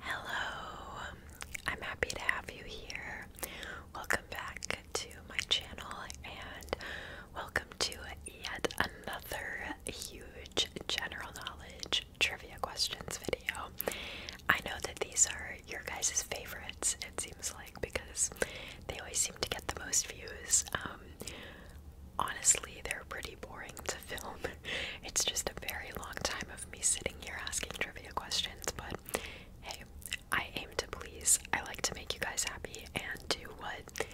Hello, I'm happy to have you here. Welcome back to my channel and welcome to yet another huge general knowledge trivia questions video. I know that these are your guys' favorites, it seems like, because they always seem to get the most views. Um, honestly, they're pretty boring to film. it's just a very long time of me sitting here asking trivia questions, but hey, I aim to please. I like to make you guys happy and do what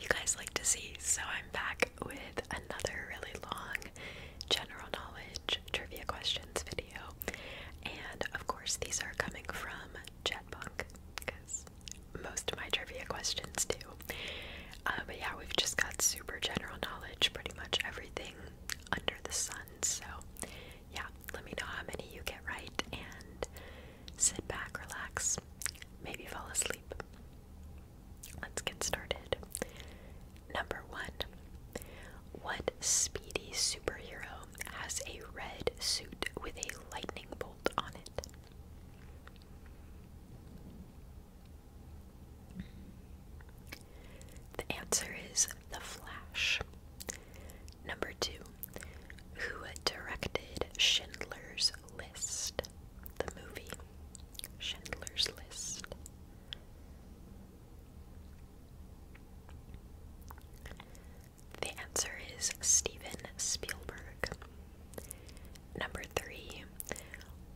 you guys like to see. So I'm back with another really long general knowledge trivia questions video. And of course, these are coming from Jetbunk because most of my trivia questions do. Uh, but yeah, we've just got super general knowledge, pretty much everything under the sun. So, yeah, let me know how many you get right and sit back, relax, maybe fall asleep. Let's get started. Number one What speedy superhero has a red suit with a lightning bolt on it? The answer is The Flash. Number two, who directed Schindler's List? The movie Schindler's List. The answer is Steven Spielberg. Number three,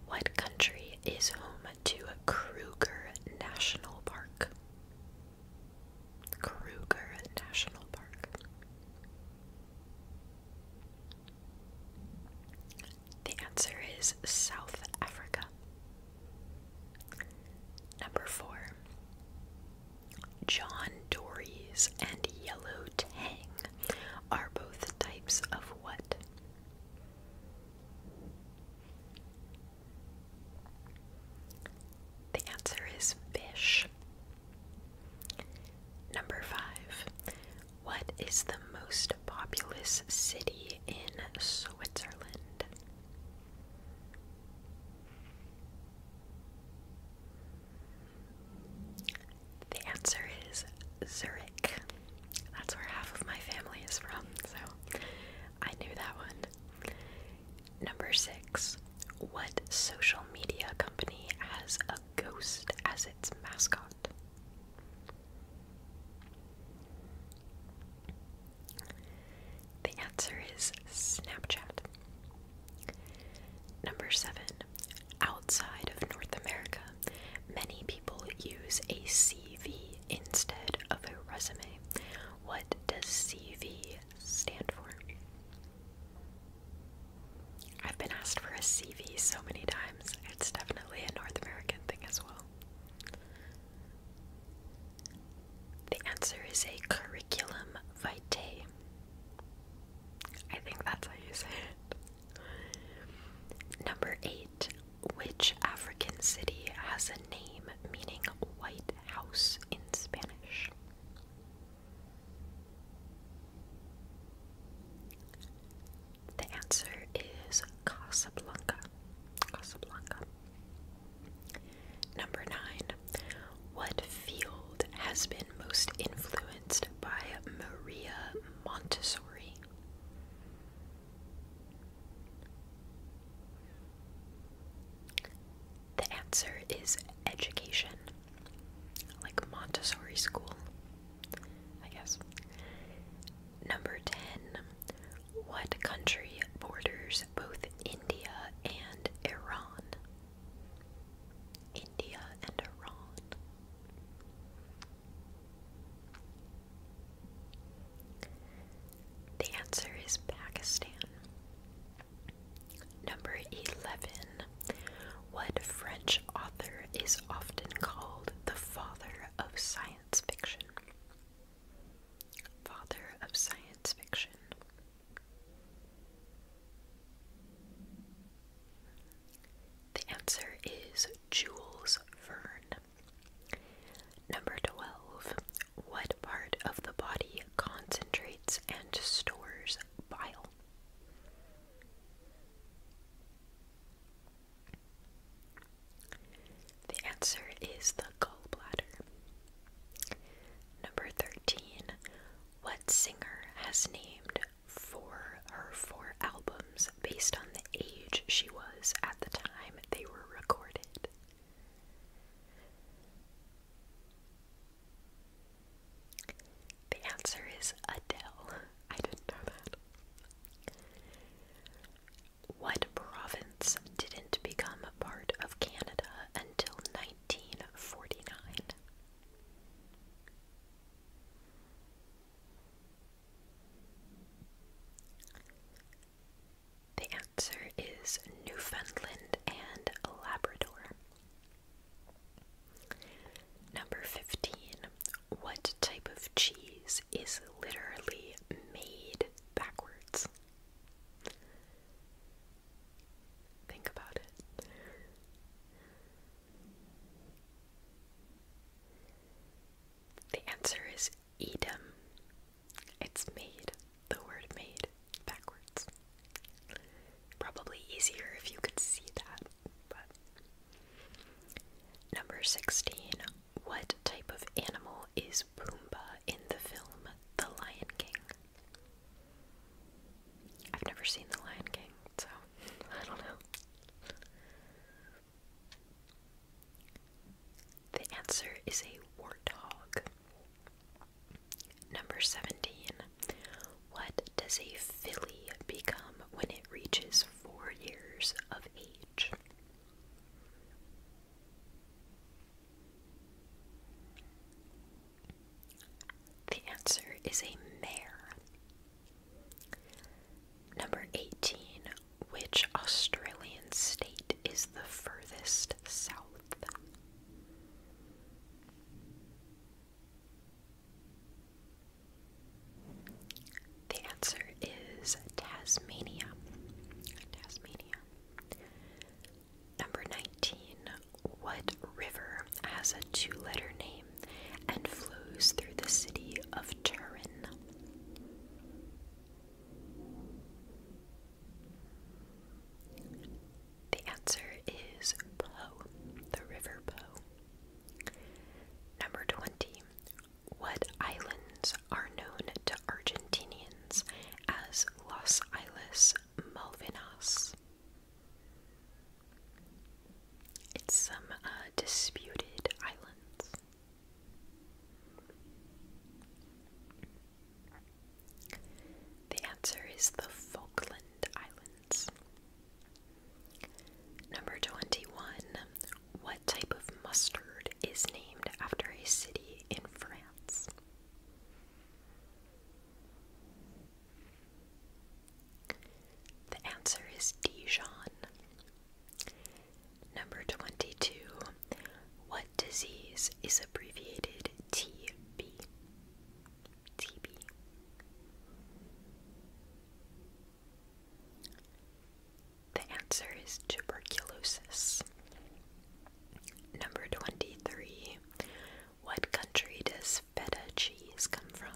what country is home to Kruger National Park. Kruger National Park. The answer is South Africa. Number four. John Dory's and Yellow Tang are both types of what? The answer is fish. Number five. What is the most populous city in Switzerland? The answer is Zurich. That's where half of my family is from, so I knew that one. Number six. What social media company has a ghost as its mascot? The answer is Snapchat. Number seven. Outside of North America, many people use a sea CV instead of a resume. What does CV stand for? I've been asked for a CV so many times. It's definitely a North American thing as well. The answer is a curriculum vitae. I think that's how you say it. Number eight, which African city has a name meaning white house in Spanish? The answer is Casablanca. Casablanca. Number nine. What field has been most influenced by Maria Montessori? The answer is education, like Montessori school, I guess. Number 10. What country borders both India and Iran? India and Iran. The answer is Pakistan. Number 11. What French author is often called the father of science fiction? Father of science fiction. The answer is Jules Verne. Number 12. What part of the body concentrates and stores bile? The answer is the gallbladder. Number 13. What singer has named for her four albums based on the age she was at the time? they were recorded. The answer is Adele. I didn't know that. What province didn't become a part of Canada until 1949? The answer is Newfoundland and Labrador. Number 15. What type of cheese is literally made backwards? Think about it. The answer is Edam. It's made, the word made, backwards. Probably easier if you could see that, but. Number 16. What type of animal is Pumbaa in the film The Lion King? I've never seen The Lion King, so I don't know. The answer is a warthog. Number 17. What does a filly become when it reaches four years of age? The answer is a mare. Number 18. Which Australian state is the furthest south? The answer is Tasmania. Tasmania. Number 19. What river has a two letter name and flows through the city of Turin? The answer is Po, the River Po. Number 20. What islands are known to Argentinians as Las Islas Malvinas? It's some uh, disputed islands. The answer is the Falkland Islands. Number 21. What type of mustard is named after a city in France? The answer is Dijon. Number 22. What disease is abbreviated TB? TB. The answer is tuberculosis. Number 23. What country does feta cheese come from?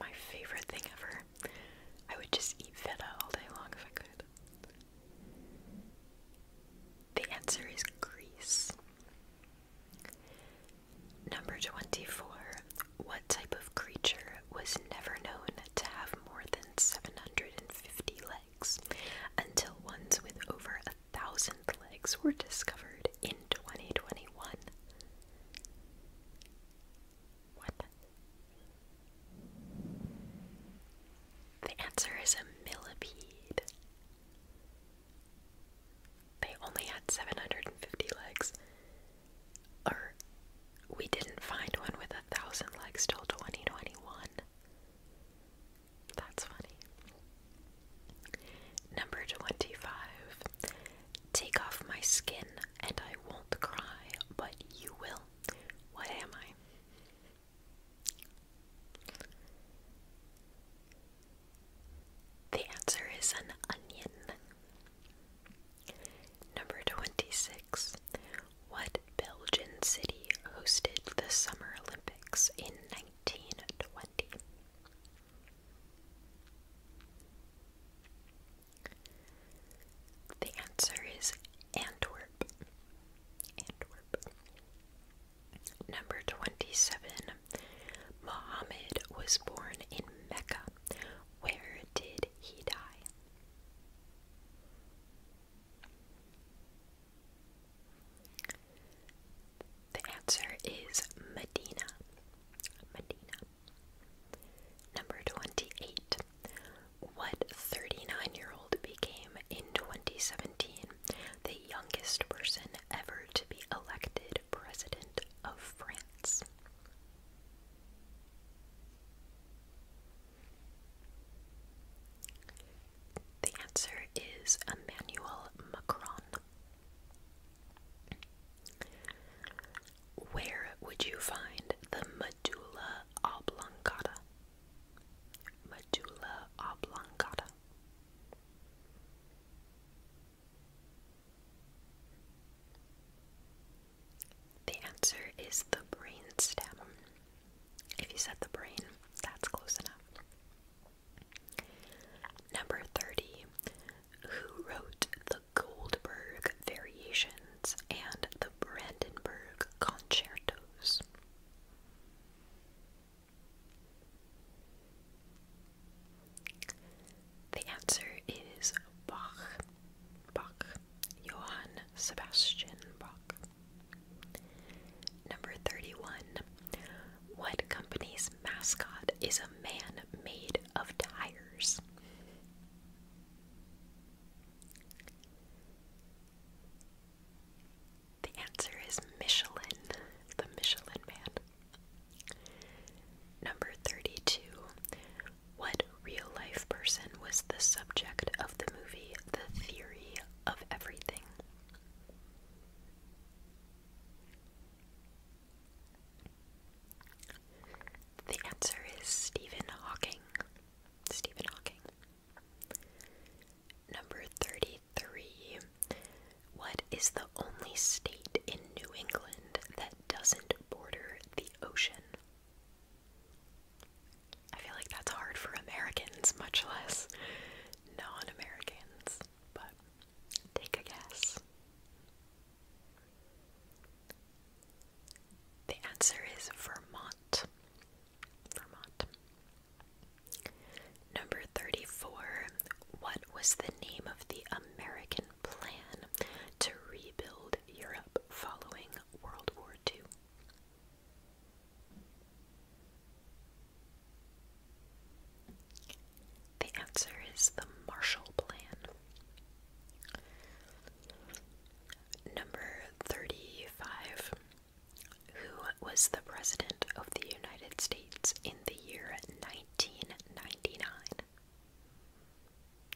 my favorite thing ever. I would just eat feta all day long if I could. The answer is Greece. Number 24. What type of creature was never known to have more than 750 legs until ones with over a thousand legs were discovered in 2021? What? The answer is a millipede. They only had 750 legs. Or, we didn't find one with a thousand legs till 2021. That's funny. Number 25. Take off my skin and I won't cry, but you will what am I? The answer is an onion. Number 26. What Belgian city hosted the Summer Olympics in 1920? The answer is Antwerp. Antwerp. Number 27. Muhammad was born in Mecca. Where did he die? The answer is Medina. Medina. Number 28. What 39 year old became in 2017 the youngest person ever to be elected president of France? The answer is Emmanuel Macron. Where would you find the medulla oblongata. Medulla oblongata. The answer is the brain stem. If you said the brain, that's close enough. Number 30. Who wrote the Goldberg Variations and the the Brandenburg Concertos. The answer is Bach. Bach. Johann Sebastian Bach. Number 31. What company's mascot is a man made of tires? The answer is Michelin, the Michelin Man. Number 32. What real life person was the subject of the movie The Theory of Everything? The answer is Stephen Hawking. Stephen Hawking. Number 33. What is the only state in New England that doesn't border the ocean? I feel like that's hard for Americans, much less non Americans, but take a guess. The answer is Vermont. Vermont. Number 34. What was the name of the American plan to rebuild Europe following World War II? The answer is the Marshall Plan. Number 35. Who was the President of the United States in the year 1999?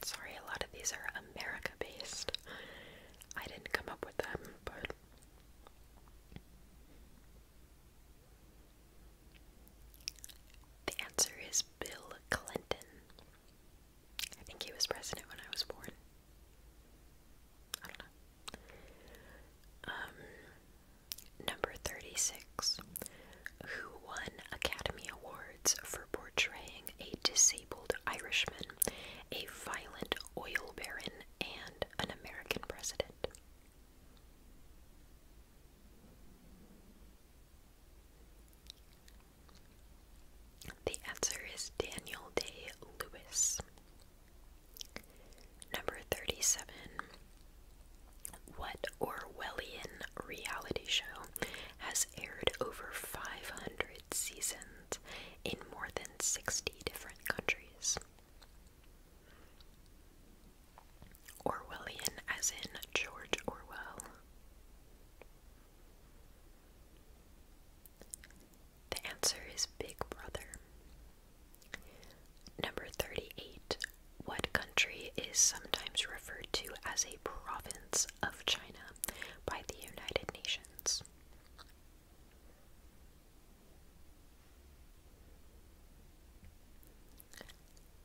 Sorry, a lot of these are America based. I didn't come up with them, but. The answer is Bill Clinton. I think he was president when I was born. Um, number 36. Who won Academy Awards for portraying a disabled Irishman, a violent oil baron, and an American president? The answer is Daniel Day Lewis. Number 37. What Orwellian reality show has aired over 500 seasons in more than 60 different countries? Orwellian, as in George Orwell. The answer is Big Brother. Number 38. What country is sometimes referred to as a province of China by the United Nations?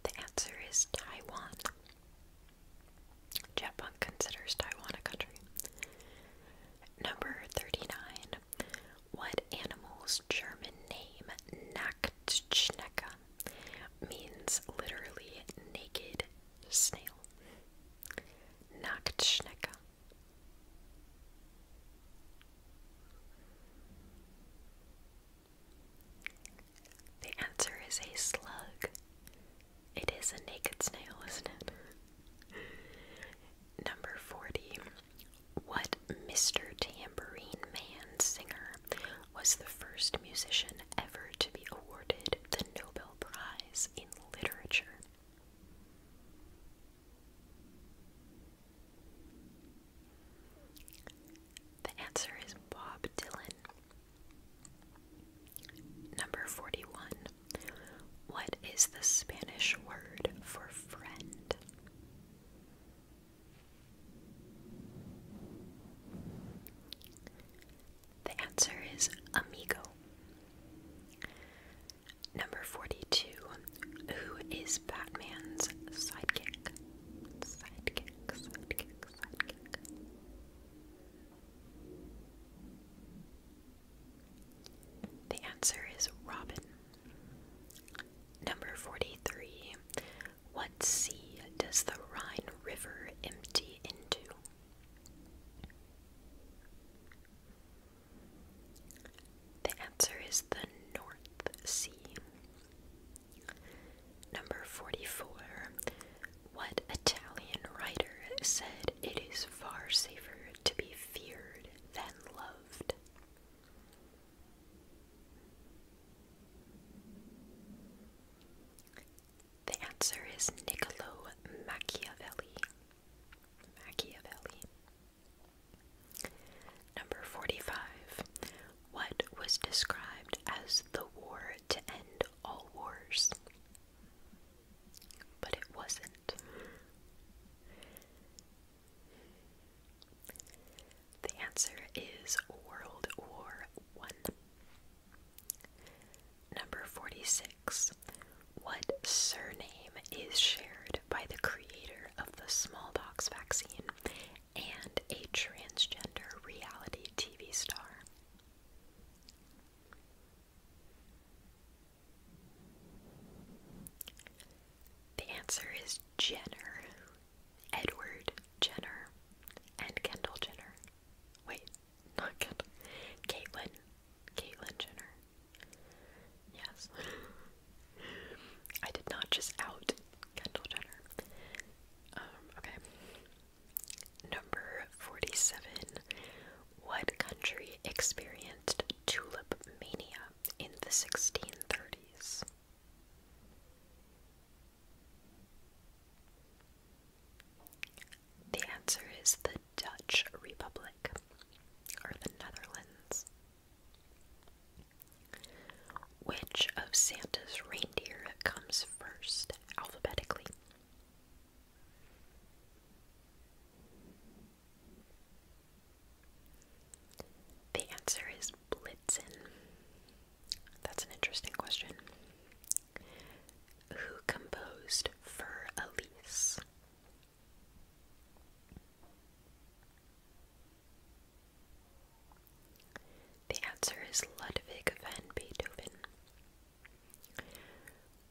The answer is Taiwan. Japunk considers Taiwan a country. Number 39. What animal's German name, Nacktschnecke, means literally naked snail? Nacktschnecke. The answer is a slug. It is a naked snail, isn't it? Number 40. What Mr. Tambourine Man singer was the first musician ever to be awarded the Nobel Prize in Literature? The answer is Bob Dylan. Number 41. What is the Spanish word for friend? The answer is amigo. Number 42. Who is Batman's sidekick? The answer is robin. Number 43. What sea does the Rhine River empty into? The answer is the North Sea. Number 44. What Italian writer said it is far safer to be feared than loved. The answer is Niccolo Machiavelli. Machiavelli. Number 45. What was described as the war to end all wars? But it wasn't. The answer is World War One. Number 46. What surname is shared by the creator of the smallpox vaccine and a transgender reality TV star? The answer is Jenner. Edward Jenner and Kendall Jenner. Wait, not Kendall. Caitlyn. Caitlyn Jenner. Yes. I did not just out Kendall Jenner. Um, okay. Number 47. What country experienced tulip mania in the 1630s? The answer is the Dutch Republic or the Netherlands. Which of Santa's reindeer comes first alphabetically? The answer is Blitzen. That's an interesting question. Who composed Fur Elise? The answer is Ludwig van Beethoven.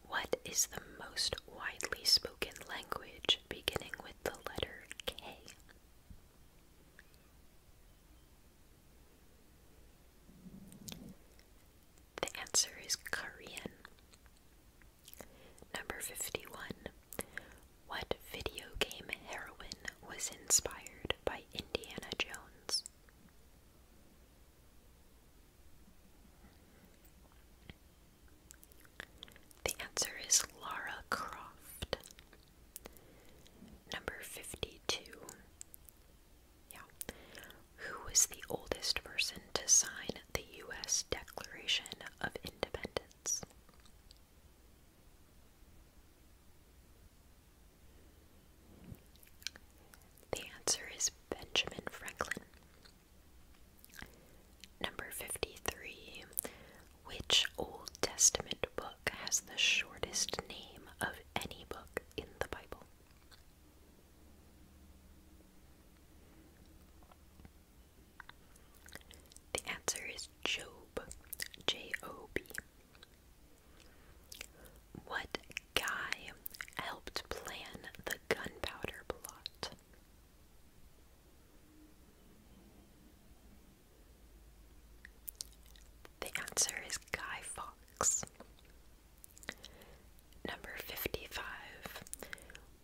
What is the most widely spoken language beginning with the letter K? The answer is Korean. Number 51. What video game heroine was inspired by Indiana Jones? The answer is Laura Croft. Number 52. Yeah. Who was the oldest person to sign the U.S. Declaration of Independence? The answer is Benjamin Franklin. Number 53. Which Old Testament book has the shortest name of any book in the Bible? The answer is Job. J O B. What guy helped plan the gunpowder plot? The answer is Guy Fox. Number 55.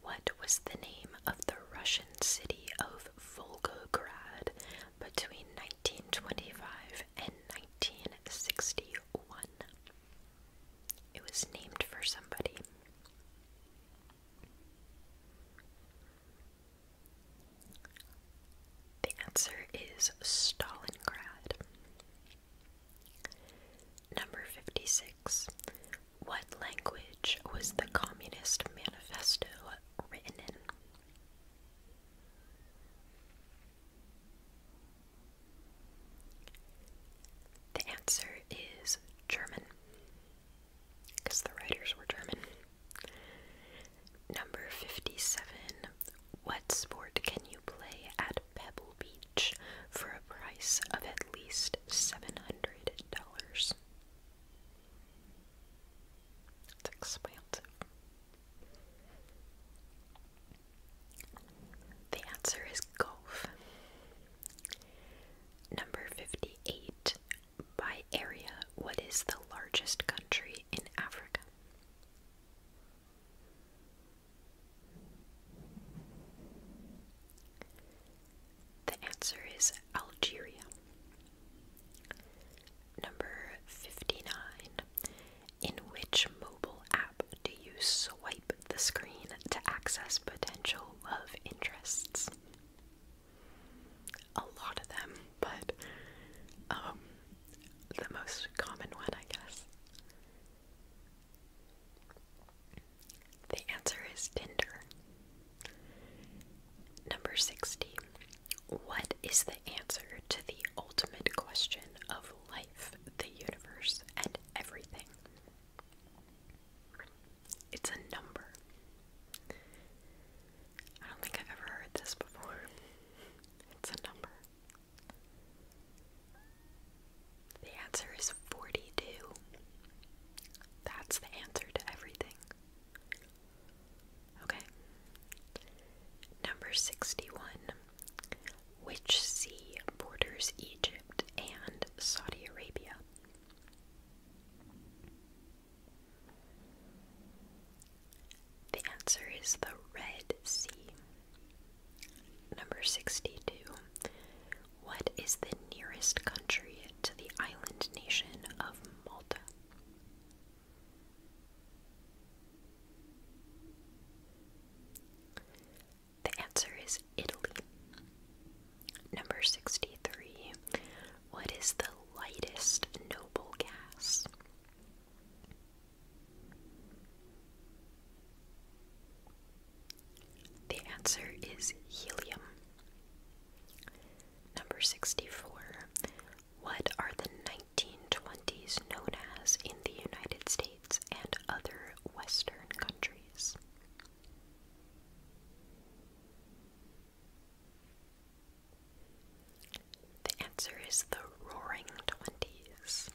What was the name of the Russian city of Volgograd between 1925 and 1961? It was named for somebody. The answer is Stalingrad. Number 56. What language was the Communist Manifesto written in? The answer is German, because the writers were German. Number 57. What sport can you play at Pebble Beach for a price of at least $700? It's The answer is golf. Number 58. By area, what is the largest country in Africa? The answer is Algeria. Number 59. In which mobile app do you swipe the screen to access potential love interests? A lot of them, but um, the most common one, I guess. The answer is Tinder. Number 60. What is the answer to the ultimate question of life, the universe, and everything? It's a number. I don't think I've ever heard this before. It's a number. The answer is 42. That's the answer to everything. Okay. Number 61. Which sea borders Egypt and Saudi Arabia? The answer is the Red Sea. Number 62. What is the nearest country to the island nation of Malta? The answer is Italy. Number 63. What is the lightest noble gas? The answer is helium. Number 64. What are the 1920s known as in the United States and other Western countries? The answer is the Roaring Twenties.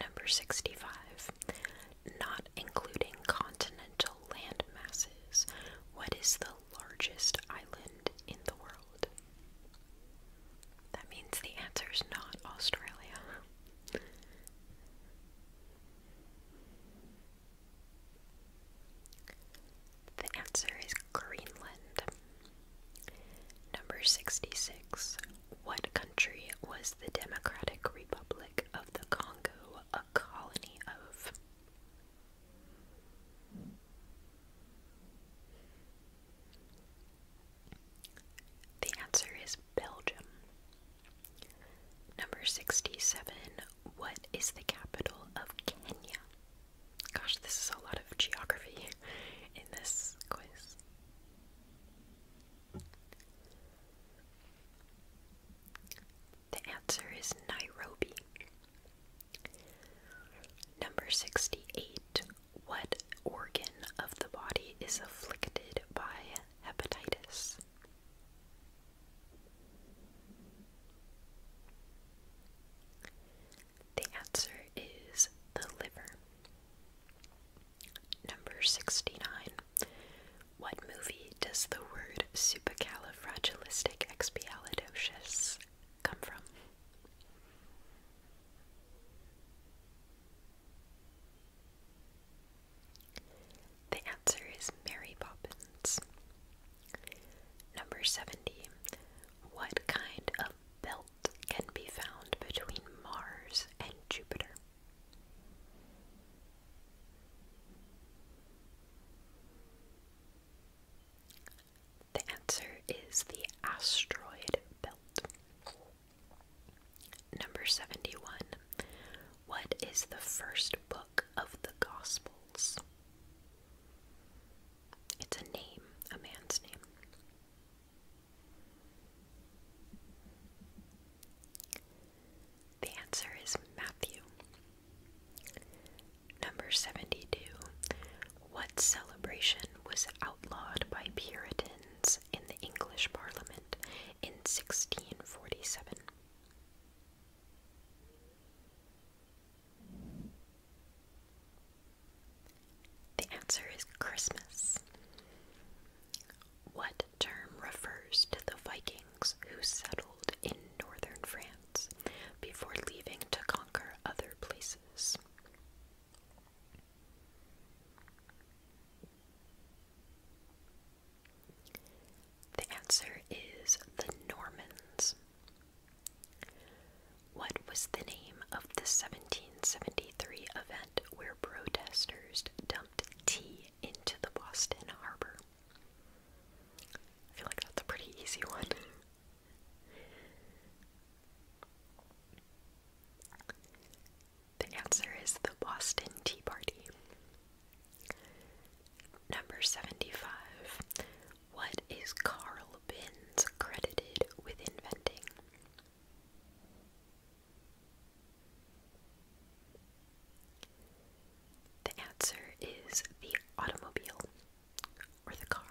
Number 65. Not including continental land masses, what is the largest island in the world? That means the answer is not Australia. The answer is Greenland. Number 66. What country was the Democratic Republic of the Congo a colony of? The answer is Belgium. Number 67. What is the capital of Kenya? Gosh, this is a lot of geography in this quiz. The answer is Nairobi. Number 68. What organ of the body is afflicted by hepatitis. The answer is the liver. Number 69. What movie does the word supercalifragilisticexpialidocious come from? The answer is Mary Poppins. Number 70. What kind of belt can be found between Mars and Jupiter? The answer is the asteroid belt. Number 71. What is the first book of the Gospels? It's a name, a man's name. The answer is Matthew. Number 72. What celebration was outlawed by Puritans in the English Parliament in 1647. The answer is Christmas. What term refers to the Vikings who settled in northern France before leaving to conquer other places? The answer is the Normans. What was the name of the 1773 event where protesters dumped tea into the Boston harbor? I feel like that's a pretty easy one. The answer is the Boston Tea Party. Number 75. What is Carl Benz credited with inventing? The answer is the automobile or the car.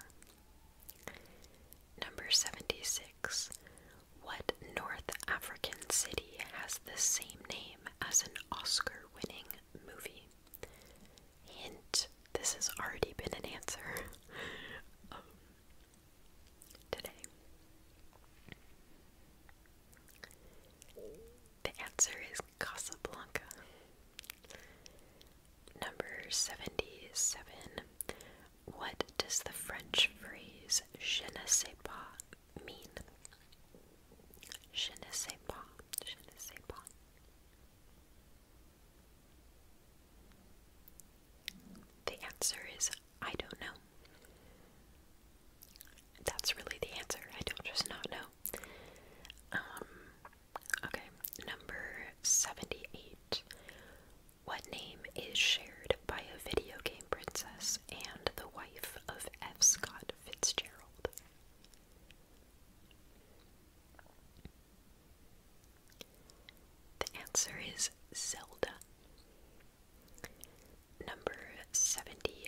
Number 76. What North African city has the same name as an Oscar winning movie? Hint, this has already been an answer um, today. The answer is Casablanca. Number 77. What does the French phrase je ne sais pas mean? The answer is I don't know. That's really the answer. I don't just not know. Um, okay, number 78. What name is shared by a video game princess? and the wife of F. Scott Fitzgerald. The answer is Zelda. Number 79.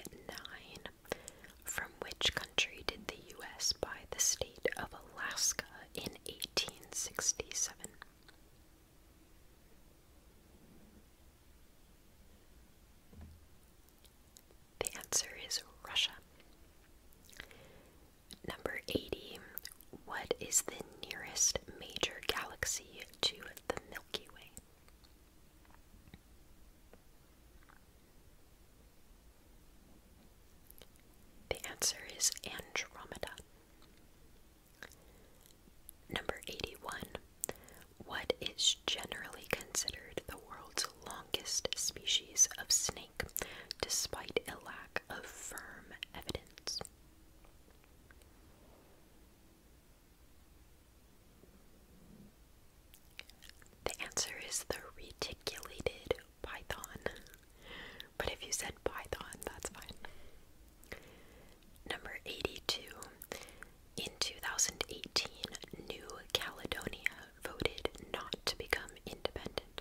From which country did the U.S. buy the state of Alaska in 1867? The answer is Russia. Number 80. What is the nearest major galaxy to the Milky Way? The answer is Andromeda. Number 81. What is generally considered the world's longest species of snake, despite a lack of firm evidence? The answer is the reticulated python. But if you said python, that's fine. Number 82. In 2018, New Caledonia voted not to become independent.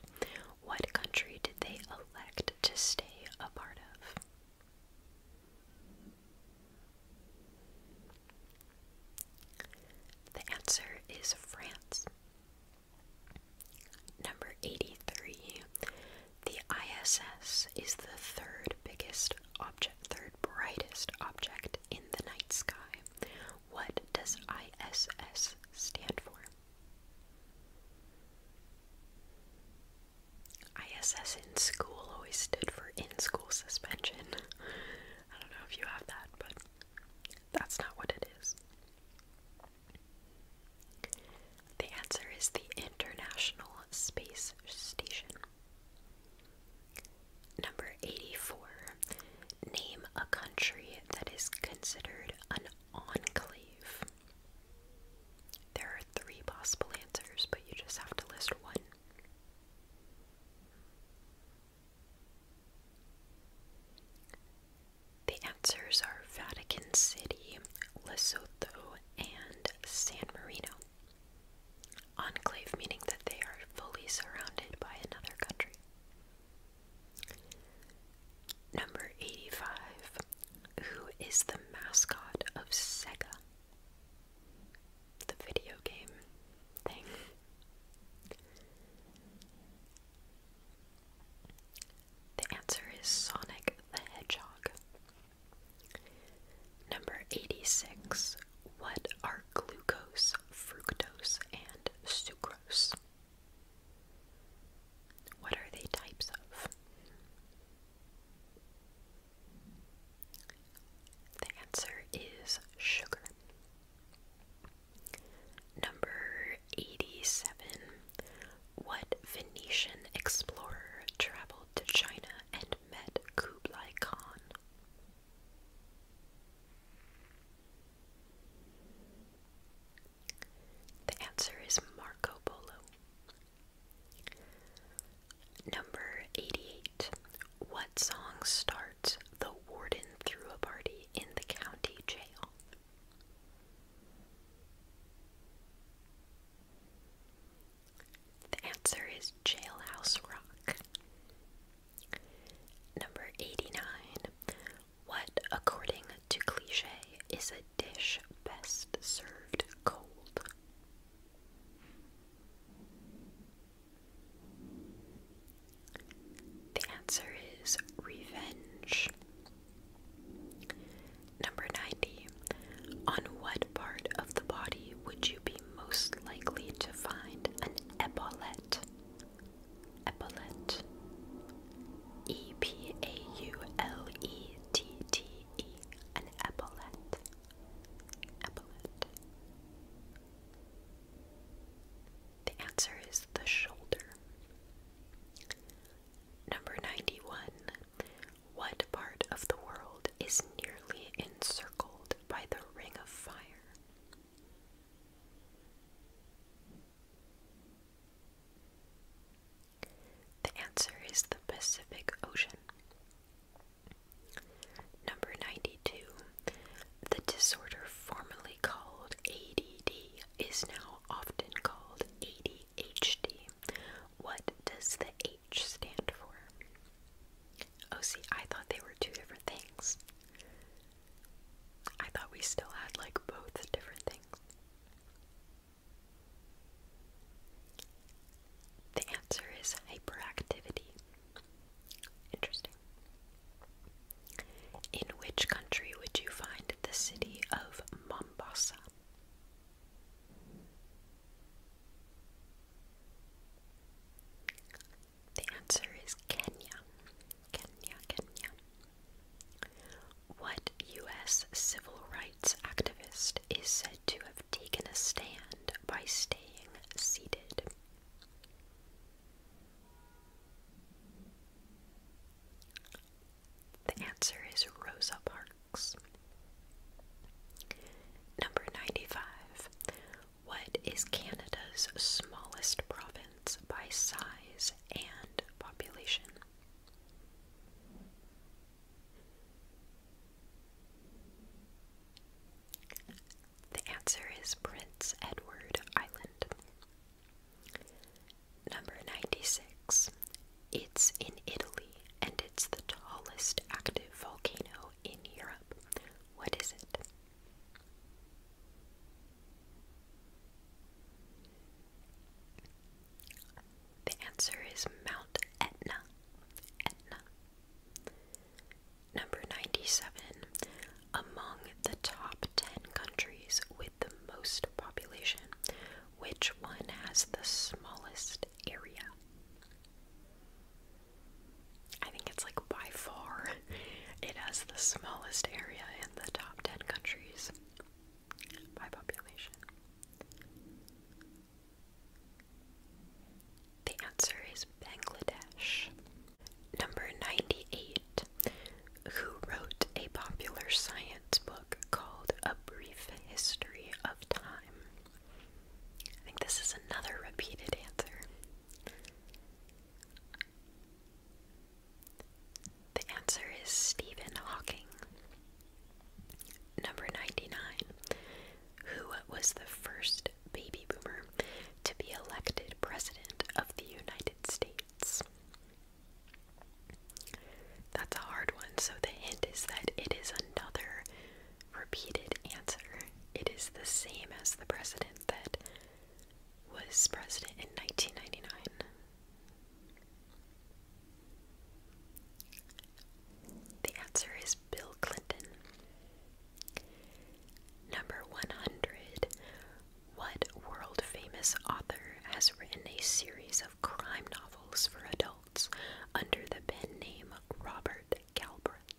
What country did they elect to stay a part of? The answer is France. Number 83. The ISS is the third biggest object third brightest object in the night sky. What does ISS stand for? ISS in school always stood for in school suspension. I don't know if you have that, but that's not what it is. The answer is the International Space Station. Number 84. Name a country that is considered an enclave. There are three possible answers, but you just have to list one. The answers are Vatican City, Lesotho, and San Marino. Enclave meaning that they are fully surrounded by another country. Number 85. Who is the mascot of Sega? The video game thing. The answer is Sonic the Hedgehog. Number 86. What are glucose, fructose, and sucrose? What are they types of? The answer is sugar. Number 87. What Venetian explorer traveled to China and met Kublai Khan? The answer is Marco Polo. Number 88. What song starts The Warden Threw a Party in the County Jail? The answer is Jailhouse Rock. Number 89. What, according to cliche, is a dish best served cold? The answer is revenge. Number 90. On what part of the body would you be most likely to find an epaulette? Epaulette. E P A U L E T T E. An epaulette. Epaulette. The answer is the shoulder. Number 91. What part of the world is nearly encircled by the ring of fire. The answer is the Pacific Ocean. Number 92. The disorder formerly called ADD is now often called ADHD. What does the H stand for? Oh, see, I thought they were two different things. I thought we still had like both different things. The answer is hyperactivity. Interesting. In which country would you find the city of Mombasa? The answer is Kenya. Kenya, Kenya. What U.S. civil rights activist is said to have taken a stand by staying seated? The answer is Rosa Parks. Number 95. What is Canada's smallest province by size and population? The answer is Prince Edward Island. Number 96. It's in Italy and it's the tallest active volcano in Europe. What is it? The answer is Mount Etna. Etna. Number 97. Among the top 10 countries with the most population, which one has the smallest area? I think it's like by far it has the smallest area in the top 10 countries by population. The answer is Bangladesh. Number 98. Who wrote a popular science book called A Brief History of Time? I think this is another repeated answer. The answer is Stephen Hawking. Number 99. Who was the first baby boomer to be elected president of the United States? That's a hard one, so the hint is that it is another repeated answer. It is the same as the president that was president in 1999. The answer is Bill Clinton. Number 100. What world famous author has written a series of crime novels for adults under the pen name Robert Galbraith?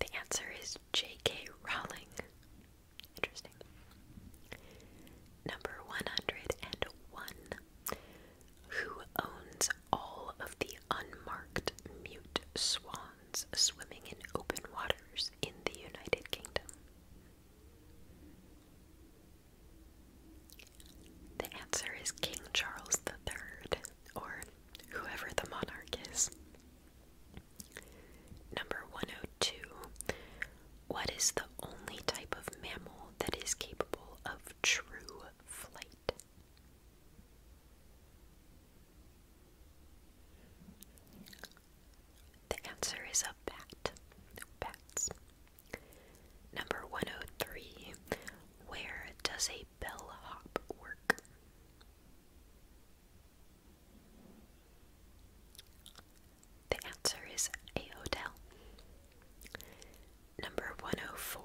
The answer is J.K. Rowling. Interesting. Number 101. Who owns all of the unmarked mute swans swimming in open waters in the United Kingdom? The answer is King Charles III, or whoever the monarch is. Number 102. What is the only type of mammal that is capable of true flight? The answer is a bat. Bats. Number 103. Where does a bellhop work? The answer is a hotel. Number 104.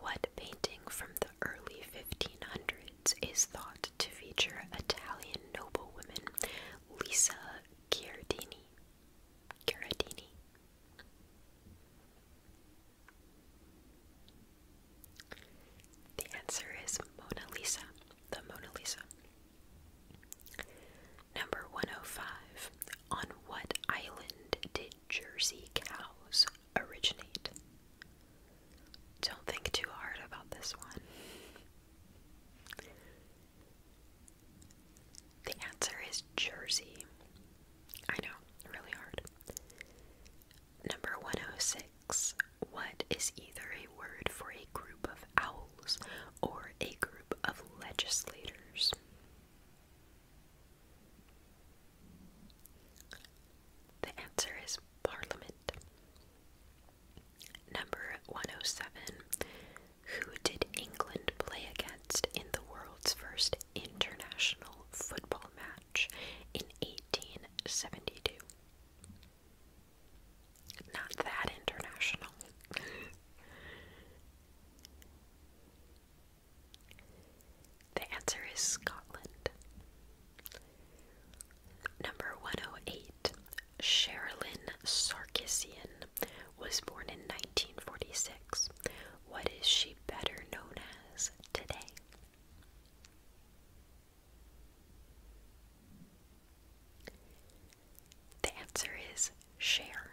What painting from the early 1500s is thought to feature Italian noblewoman Lisa Giardini? Curatini. The answer is Mona Lisa, the Mona Lisa. Number 105. On what island did Jersey cows originate? Don't think too hard about this one. The answer is Jersey. I know, really hard. Number 106. What is either a word for a group of owls or a group of legislators? The answer is parliament. Number 107. Who did England play against in the world's first international football match in 1872? Not that international. the answer is Scotland. Number 108. Sherilyn Sarkisian was born in 1946. What is she better known as today? The answer is Cher.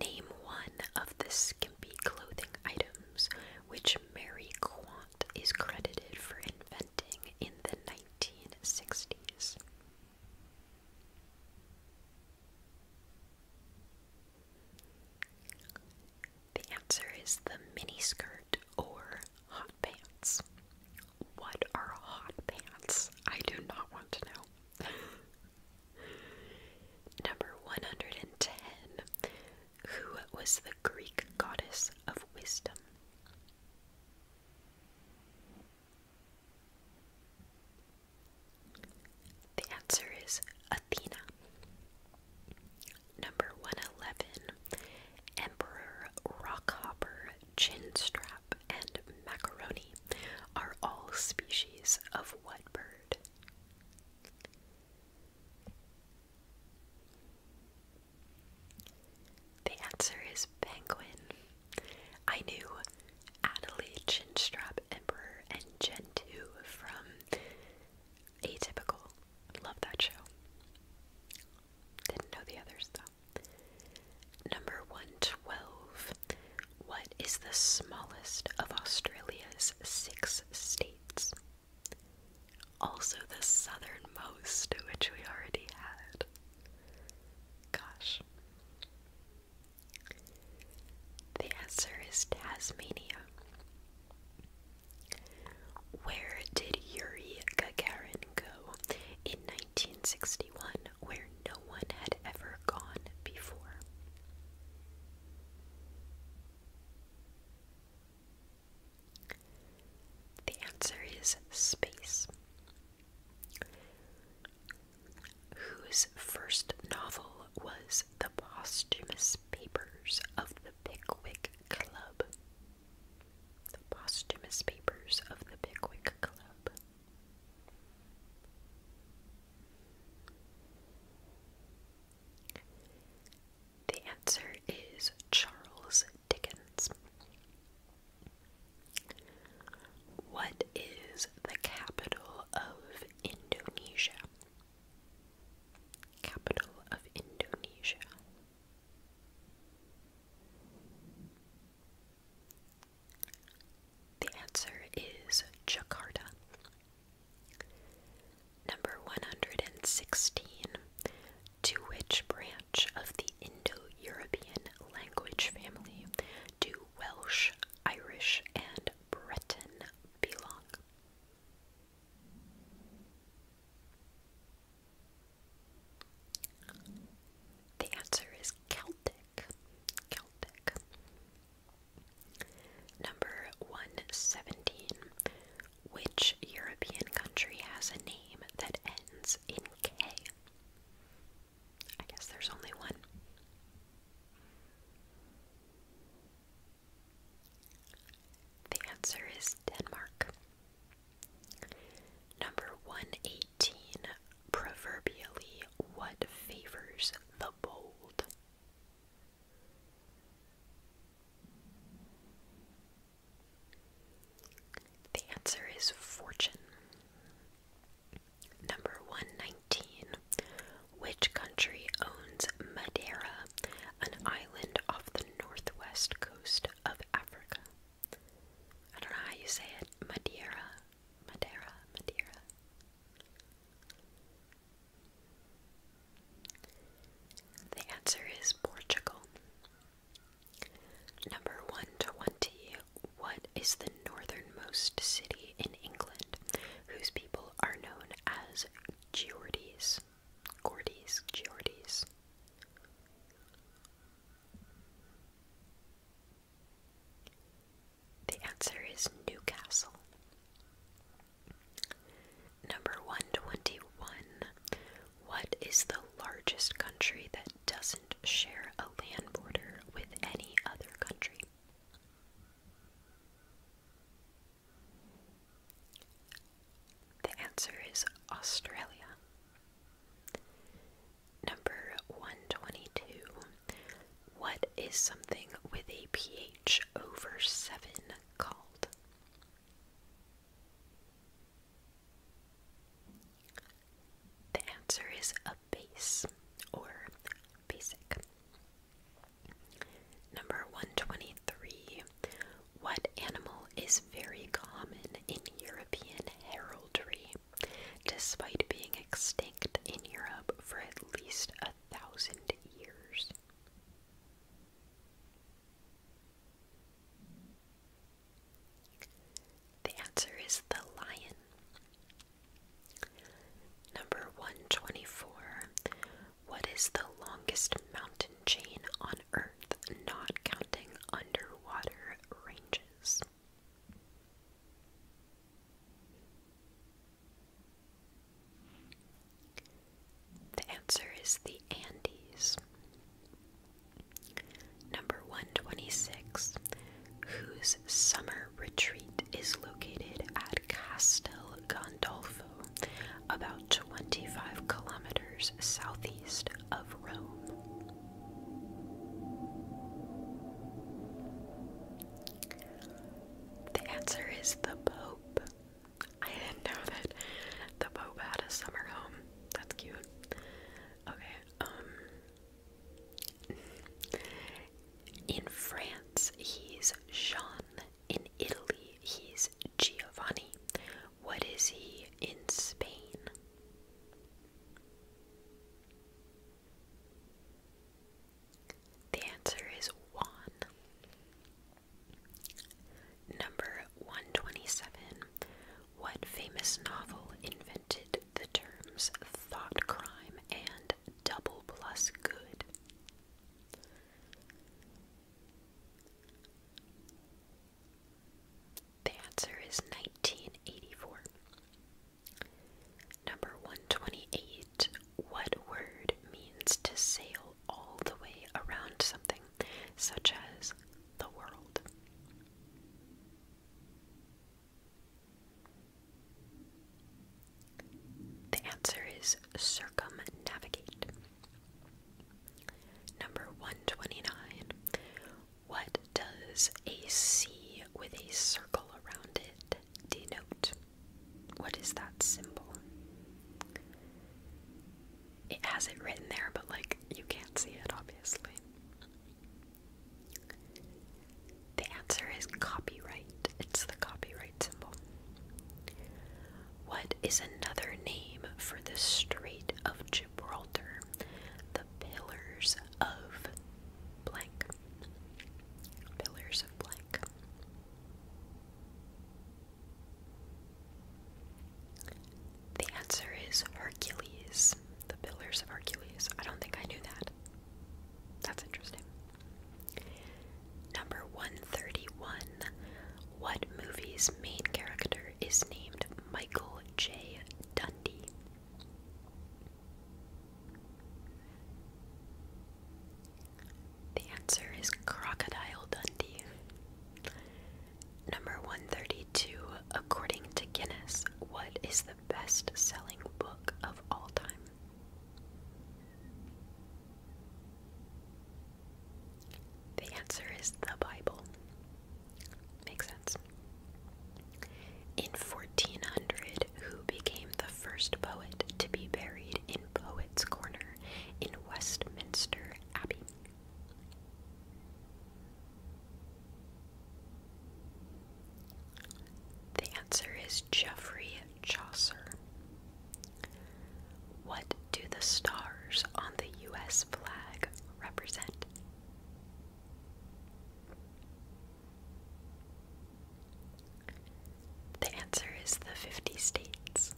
Name one of the skimpy clothing items which Mary Quant is credited for inventing in the 1960s. The answer is the miniskirt or hot pants. What are hot pants? I do not want to know. Number 110. Who was the Greek goddess of wisdom? The answer is Athena. Number 111 Emperor Rockhopper, Chinstrap, and Macaroni are all species of what bird? The answer is penguin. I knew Adelaide Chinstrap Emperor and Gentoo from Atypical. Love that show. Didn't know the others though. Number 112. What is the smallest of Australia's six states? Also the southernmost, which we already had. Gosh. The answer is Tasmania. Where did Yuri Gagarin go in 1961 where no one had ever gone before? The answer is space whose first novel was The Posthumous Papers of the Pickwick Club. The Posthumous Papers of the Pickwick Club. The answer is Charles Dickens. What is the capital of Indonesia? Capital of Indonesia. The answer is Jakarta. Number 116. To which branch of the Indo European language family do Welsh Irish, and Breton belong? The answer is Celtic. Celtic. Number 117. Which European country has a name that ends in K? I guess there's only one. The answer is Denmark. Number 118. Proverbially, what favors the bold? The answer is fortune. Number 119. Which country owns Madeira, an island off the northwest coast of Africa? I don't know how you say it. Madeira, Madeira, Madeira. The answer is Portugal. Number 120. What is the northernmost city in England whose people are known as Geordies? Gordies, Geordies. The answer is Newcastle. Number 121. What is the largest country that doesn't share a land border with any other country? The answer is Australia. Number 122. What is something with a pH over 7 called? The answer is a base or basic. Number 123. What animal is very common in European heraldry, despite being extinct in Europe for at least a thousand years? The answer is the lion. Number 124. What is the longest mountain chain on Earth, not counting underwater ranges? The answer is the Andes. Number 126 whose summer retreat is located at Castel Gandolfo, about 25 kilometers southeast of Rome. The answer is the Pope. I didn't know that the Pope had a summer home. That's cute. Okay, um, in France, he's Jean. In Italy, he's Giovanni. What is he in Spain? The answer is Juan. Number 127. What famous novel invented the terms thought crime and double plus good. The answer is 1984. Number 128. What word means to sail all the way around something, such as the world? The answer is circumnavigate. Number 129. What does a C with a circle around it denote? What is that symbol? It has it written there, but like you can't see it, obviously. The answer is copyright. It's the copyright symbol. What is another name for the Strait of Gibraltar? The Pillars of blank. Pillars of blank. The answer is Hercules. The Pillars of Hercules. I don't think I knew that. That's interesting. Number 131. What movie's main character is named Michael J. Dundee? The answer is Crocodile Dundee. Number 132. According to Guinness, what is the best selling book of all time? The answer is the Bible. Makes sense. In 1400, who became the first poet to be buried in Poets' Corner in Westminster Abbey? The answer is Geoffrey Chaucer. What do the stars on the US flag represent? The answer is the 50 states.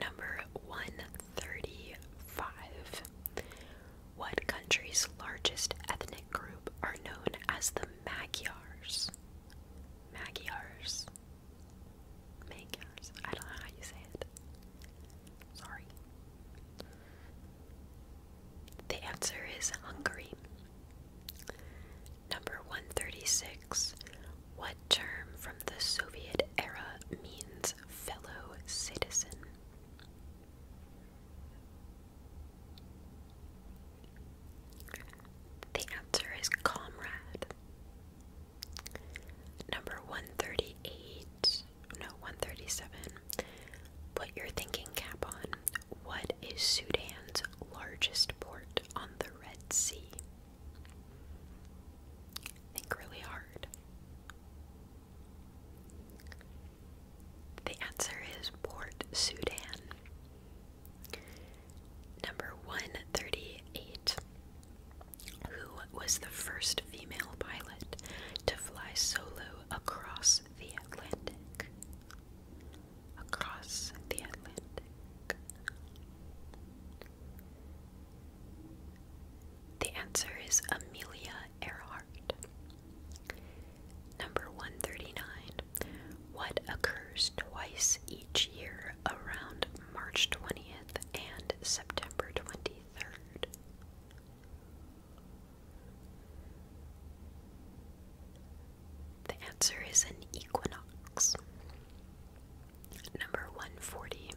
Number 135. What country's largest ethnic group are known as the Magyars. Magyars. Magyars. I don't know how you say it. Sorry. The answer is Hungary. Number 136. What term from the Soviet era means fellow citizen? The answer is comrade. Number 138, no, 137. Put your thinking cap on. What is Sudan's largest port on the Red Sea? Think really hard. The answer is Port Sudan. Number 138. Who was the first female pilot to fly solo across the Atlantic? Across the Atlantic. The answer is Amelia Earhart. Number 139. What occurs twice each year around March 20th and September 23rd? The answer is an equinox. Number 140.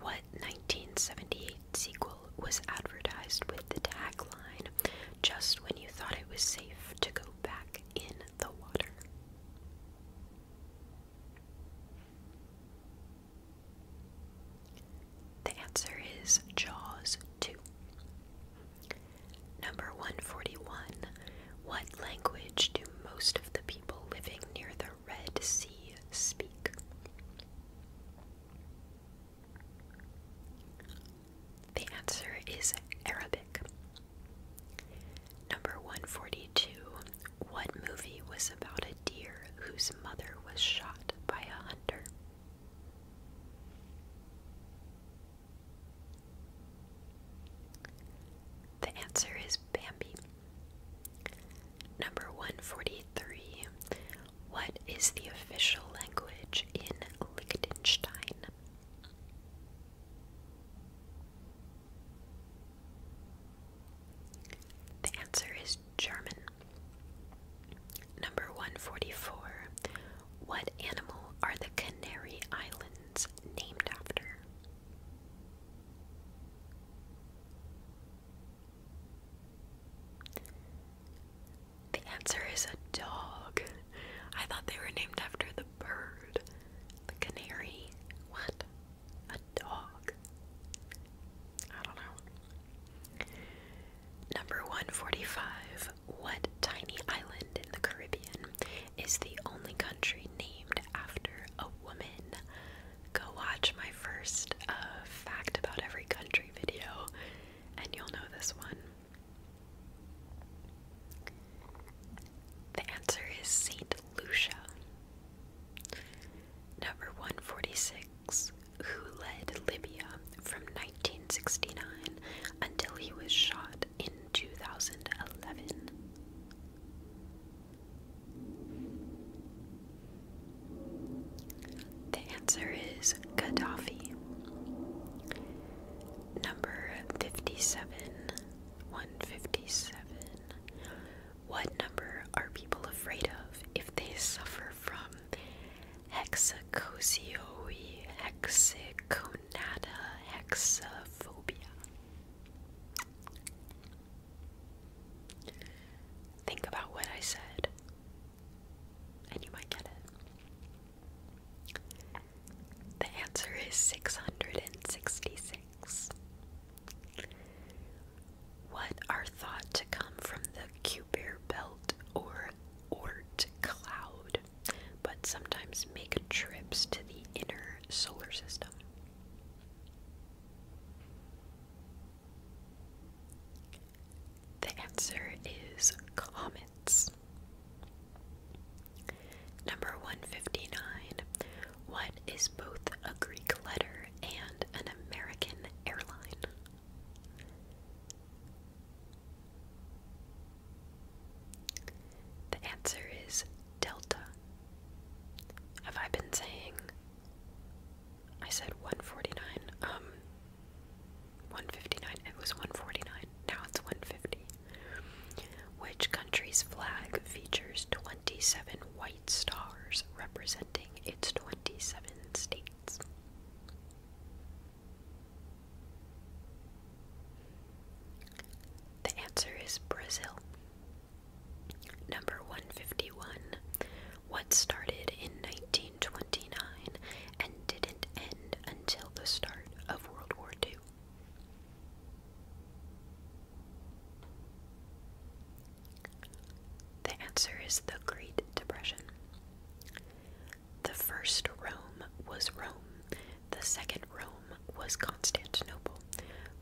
What 1978 sequel was advertised with the tagline, just when you thought it was safe to go back in the water. The answer is Jaws 2. Number 141. What language do most of the people living near the Red Sea speak? The answer is Arabic. Number 142. What movie was about a deer whose mother was shot by a hunter? The answer is Bambi. Number 143. What is the official language in Liechtenstein? The answer is German. Number 144. What animal are the Canary Islands named after? The answer is a dog. I thought they were named after the bird. The canary. What? A dog. I don't know. Number 145. What tiny island in the Caribbean is the only country named after a woman? Go watch my first uh, fact about every country video and you'll know this one. The answer is Saint Lucia. Number 146, who led Libya from 1969 until he was shot in 2011. The answer is Gaddafi. Number 57. 157. What number are people afraid of if they suffer from hexacosioi, hexaconata, hexaphobia? Think about what I said, and you might get it. The answer is 666. What are thought to come from the Kuiper belt or Oort cloud, but sometimes make trips to the inner solar system? The answer is comets. Number 159. What is both a Greek letter and an American airline? The answer is Delta. Have I been saying? I said 149. Um, 159. It was 149. Now it's 150. Which country's flag features 27 white stars representing its 27 states? The answer is Brazil. Number 151. What started in 1929 and didn't end until the start of World War II? The answer is the Great Depression. The first Rome was Rome, the second Rome was Constantinople,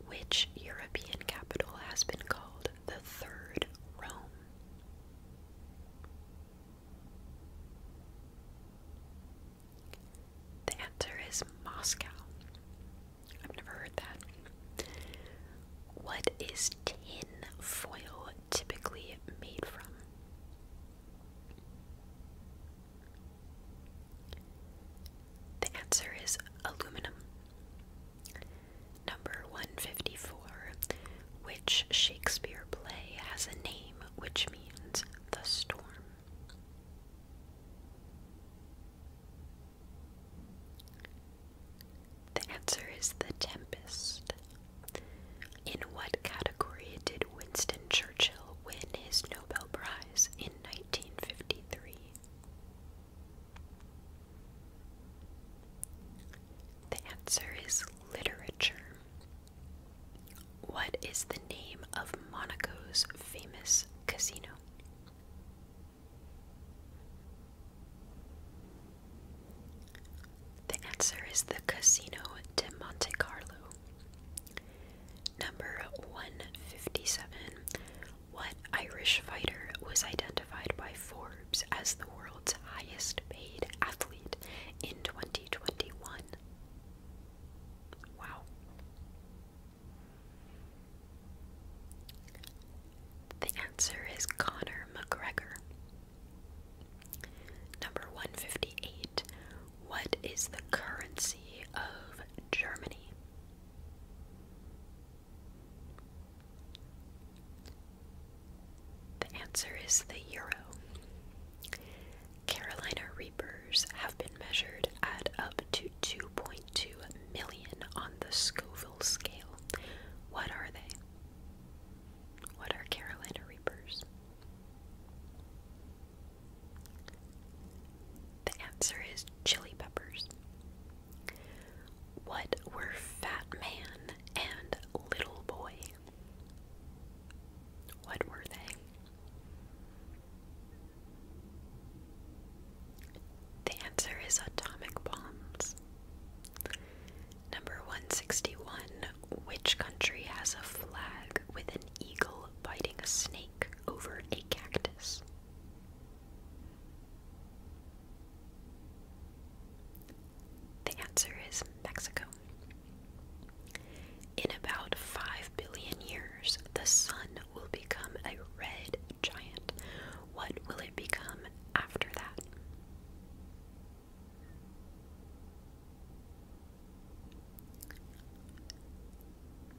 which European capital has been called the Third Rome. The answer is Moscow. I've never heard that. What is tin foil typically made from? The answer is aluminum. Number 154. Which Shakespeare play has a name which means the storm? The answer is The Tempest. In what category did Winston Churchill win his Nobel Prize in 1953? The answer is literature. What is the name of Monaco's famous casino? The answer is the Casino de Monte Carlo. Number 157. What Irish fighter was identified by Forbes as the world's highest paid athlete in 2021? Wow. The answer is Connor McGregor. Number 158. What is the currency of Germany? The answer is the euro. Carolina reapers have been measured at up to 2.2 million on the Scoville scale. What are they? What are Carolina reapers? The answer is chili peppers. What were Fat Man and Little Boy? What were they? The answer is atomic bombs. Number 161. Which country has a flag with an eagle biting a snake over a cactus? The answer is Mexico. In about 5 billion years, the sun will become a red giant. What will it become after that?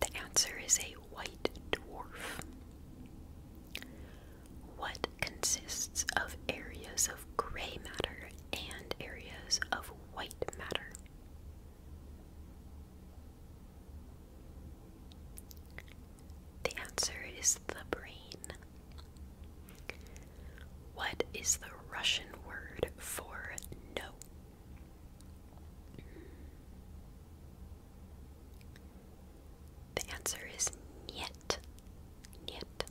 The answer is a white dwarf. What consists of areas of gray matter and areas of white matter? The answer is the brain. What is the Russian word for no? The answer is niet. Niet,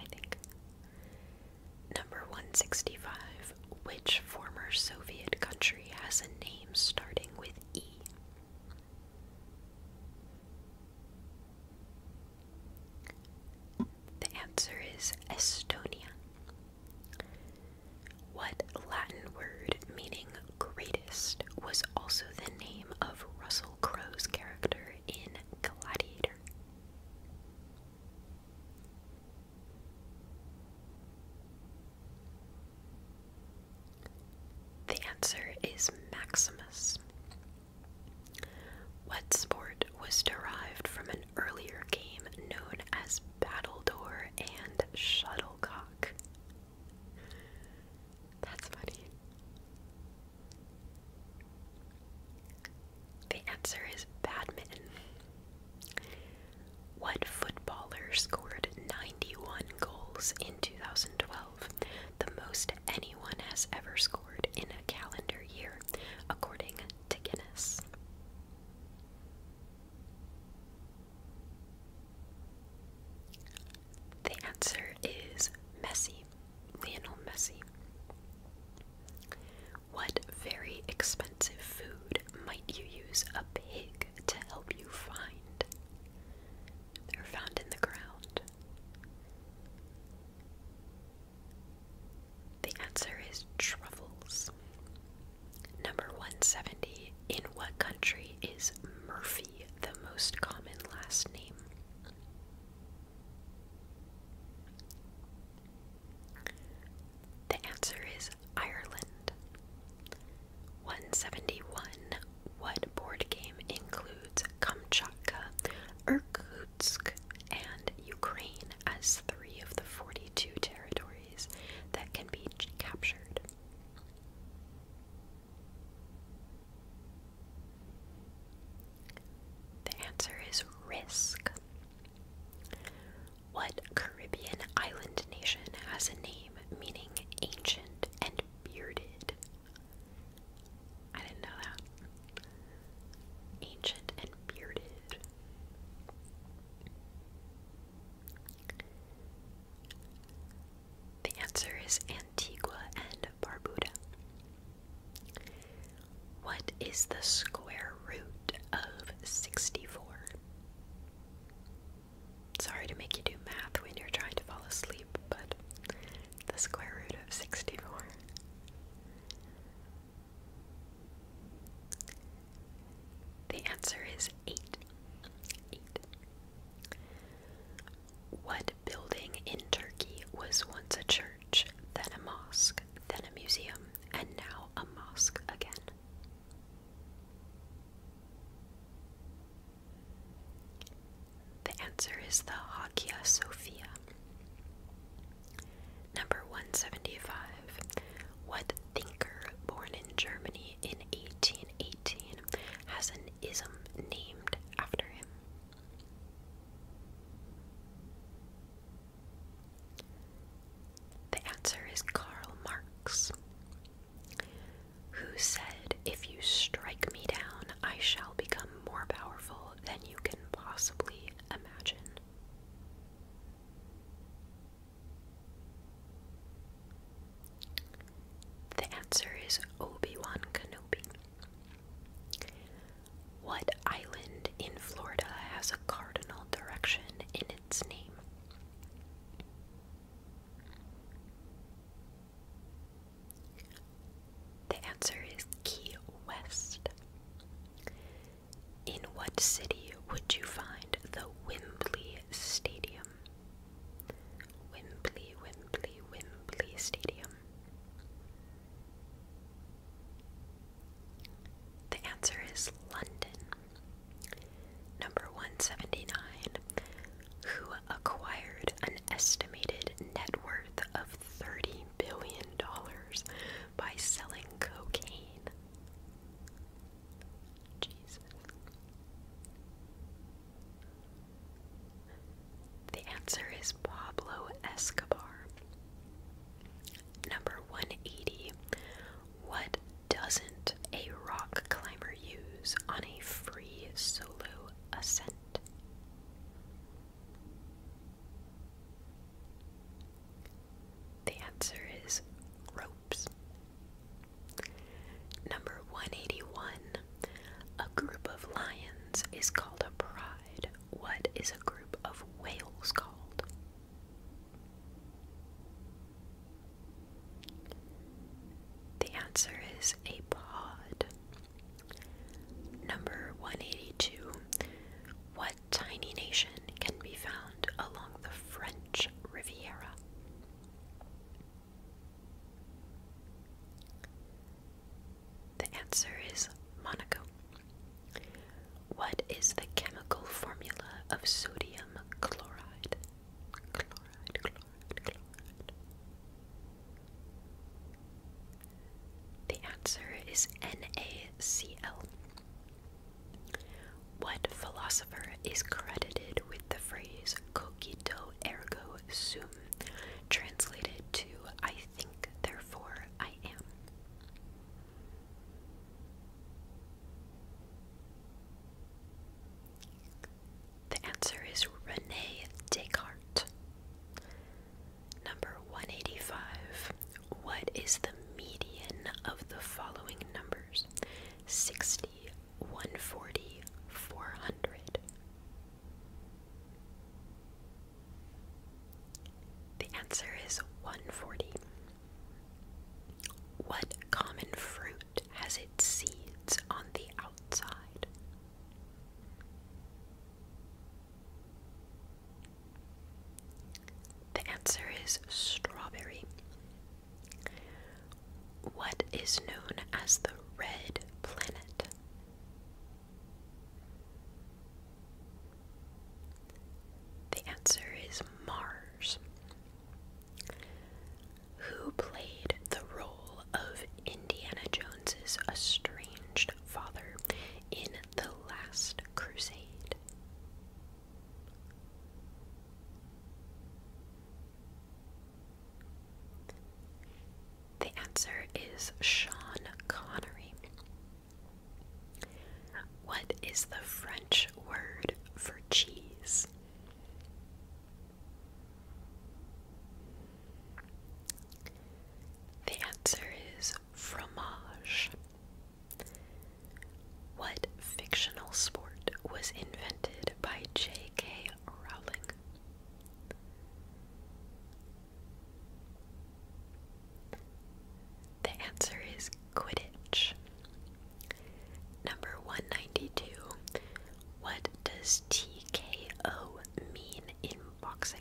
I think. Number 165 which former Soviet country has a name starting with E? The answer is Estonia. What Latin word meaning greatest was also the name of Russell Crowe's character in Gladiator? The answer is Maximus. What sport was derived from an earlier game known as Battledore and Shuttlecock? That's funny. The answer is badminton. What footballer scored 91 goals in 2012, the most anyone has ever scored in a calendar year, according to Guinness? The answer is Messi, Lionel Messi. What very expensive food might you use a pig to help you find? They're found in the ground. The answer is truffles. Number 170. In what country is Murphy the most common last name? The answer is Ireland. 171. What board game includes Kamchatka, Irkutsk, and Ukraine as three of the 42 territories that can be captured? The answer is Risk. What Caribbean island nation has a name meaning ancient and bearded? I didn't know that. Ancient and bearded. The answer is Antigua and Barbuda. What is the square root of 64? Sorry to make you do math when you're trying to fall asleep, but the square root of 64. The answer is 8. 8. What building in Turkey was once a church, then a mosque, then a museum, and now a mosque again? The answer is the Hagia Sophia. Number 175. What thinker born in Germany in 1818 has an ism named after him? The answer is Karl Marx who said, If you strike me down, I shall become more powerful than you can possibly imagine. The answer is Obi Wan Kenobi. What island in Florida has a cardinal direction in its name? The answer is Key West. In what city would you find the Wembley Stadium? Wembley, Wembley, Wembley Stadium. The answer is London. Number 179. Who acquired an estimated net worth of $30 billion by selling cocaine? Jesus. The answer is Pablo Escobar. Number 180. What doesn't a rock climber use on a free solo ascent? The answer is ropes. Number 181. A group of lions is called a pride. What is a group of whales called? The answer is a pod. Number 182. What tiny nation can be found along the French Riviera? The answer is Monaco. What is the chemical formula of sodium chloride? The answer is NaCl. What philosopher is credited with the phrase cogito ergo sum, translated to I think, therefore I am? The answer is Rene Descartes. Number 185. What is the median of the following numbers? 60, 140, 400. The answer is 140. What common fruit has its seeds on the outside? The answer is strawberry. What is known as the red planet? The answer is Mars who played the role of Indiana Jones's estranged father in The Last Crusade? The answer is Sean Connery. What is the French word for cheese? The answer is fromage. What fictional sport was invented by J.K. Rowling? The answer is Quidditch. Number 192. What does TKO mean in boxing?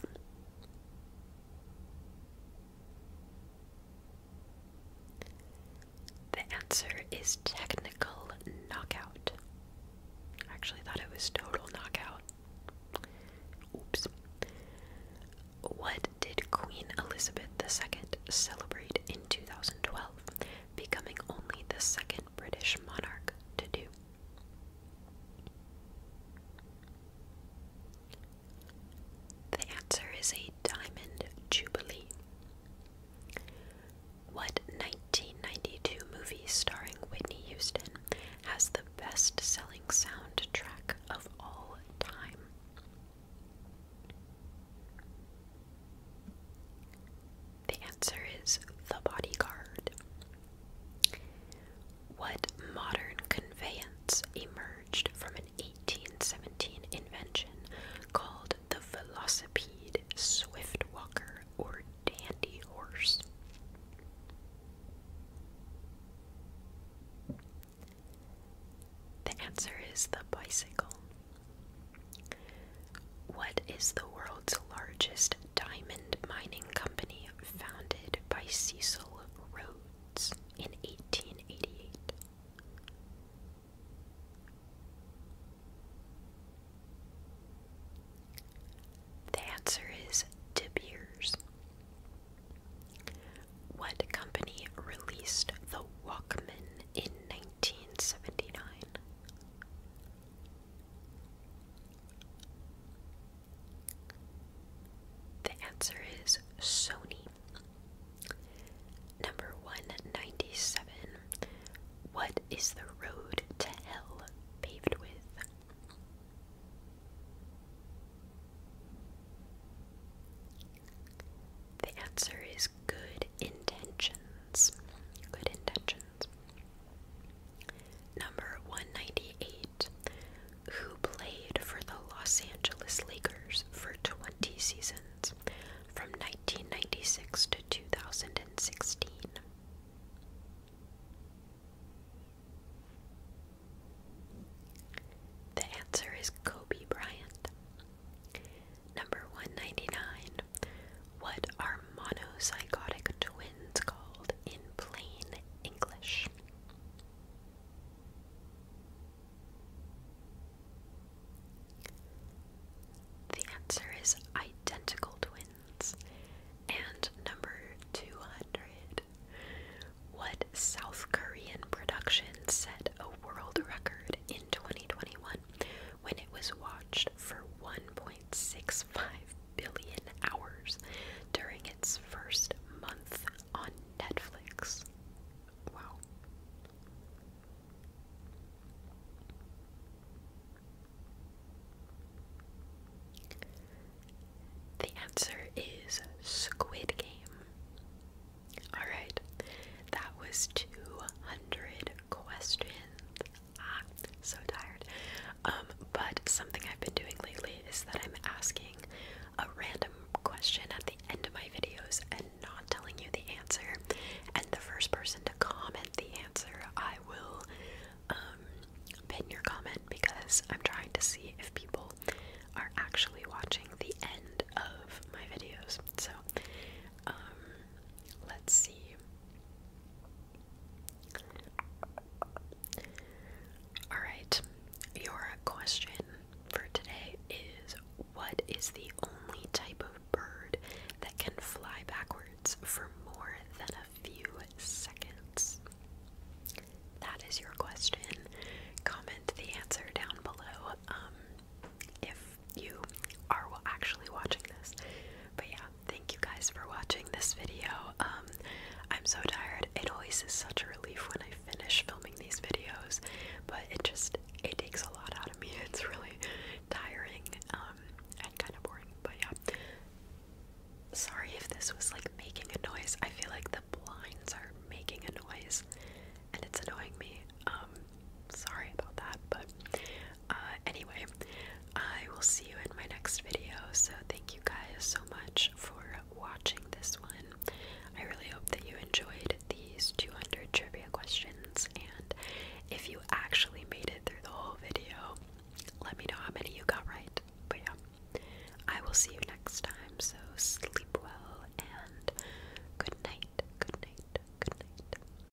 The answer is technical knockout. actually thought it was total knockout. Oops. What did Queen Elizabeth II celebrate in 2012? becoming only the second British monarch to do. The answer is a diamond jubilee. What 1992 movie starring Whitney Houston has the best selling soundtrack of all time? The answer is The Bodyguard. What modern conveyance emerged from an 1817 invention called the velocipede, swift walker, or dandy horse? The answer is the bicycle. What is the world's largest diamond mining company founded by Cecil Rhodes in 1888? The answer is De Beers. What company released the Walkman in 1779. The answer is Sony. Number 197. What is the road to hell paved with? The answer is good intentions. Good intentions. Number 198. Who played for the Los Angeles Lakers for 20 seasons from 1996 to 2016? The answer is Kobe Bryant. Number 199. What are monozygotic twins called in plain English? The answer is identical twins. And number 200. What South Korean production set a world record in 2021 when it was watched for 1.65 billion hours during its first month on Netflix. Wow. The answer is Squid Game. Alright, that was 200 questions ah, so tired. Um, but something I've been doing lately is that I'm asking a random question at the end of my videos and not telling you the answer. And the first person to comment the answer, I will um, pin your comment because I'm trying to see if people are actually watching the end of my videos. So, um, Let's see. Alright, your question for today is what is the only type of bird that can fly backwards for more than a few seconds? That is your question. Comment the answer down below. Um, if you are actually watching this. But yeah, thank you guys for watching this video. Um, I'm so tired. It always is such a relief when I finish filming these videos, but it just it takes a lot out of me. It's really tiring um, and kind of boring. But yeah, sorry if this was like making a noise. I feel like the blinds are making a noise, and it's annoying me. Um, sorry about that, but uh, anyway, I will see you in my next video. So, thank you guys so much for watching this one. I really hope that you enjoyed these 200 trivia questions. And if you actually made it through the whole video, let me know how many you got right. But yeah, I will see you next time. So, sleep well and good night. Good night. Good night.